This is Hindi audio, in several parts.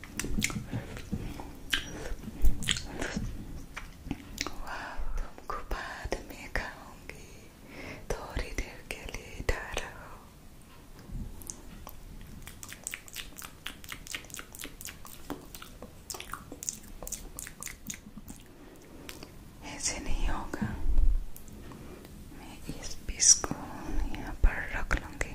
वाह तुमको बाद में खाऊंगी थोड़ी देर के लिए ठहरो ऐसे नहीं होगा मैं इस पीस को यहाँ पर रख लूंगी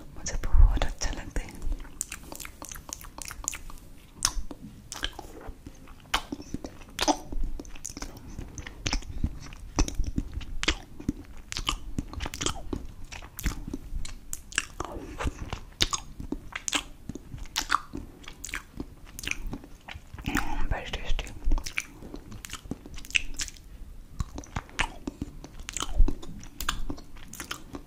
मुझे बहुत अच्छा लगता है very tasty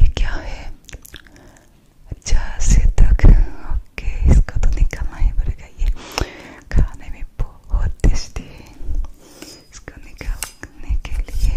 ये क्या है अच्छा से तक ओके इसको तो निकालना ही पड़ेगा ये खाने में बहुत टेस्टी है इसको निकालने के लिए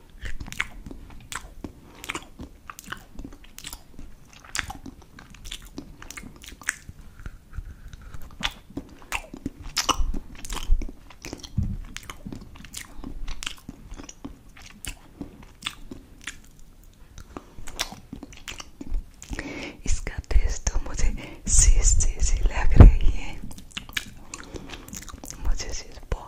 इसका टेस्ट तो मुझे सीस जैसी लग रही है मुझे सीस बहुत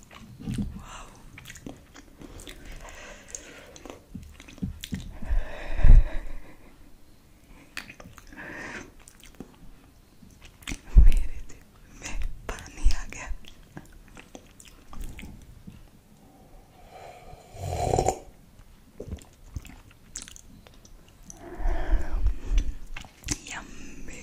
Wow. मेरे दिल में पानी आ गया यम्मी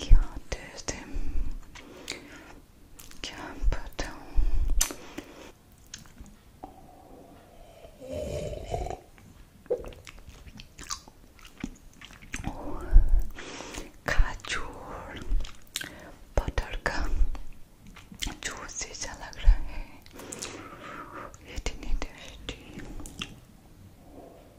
क्या टेस्ट है क्या बताऊं खाजूर बटर का जूस जैसा लग रहा है इतनी टेस्टी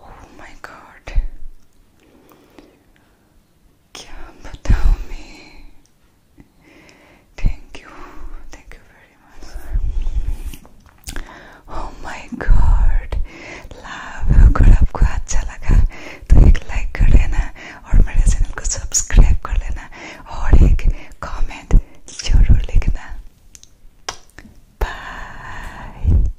oh my god क्या बताऊं मैं thank you thank you very much oh my god love अगर आपको अच्छा लगा तो एक लाइक कर देना और मेरे चैनल को सब्सक्राइब कर लेना और एक कमेंट जरूर लिखना बाय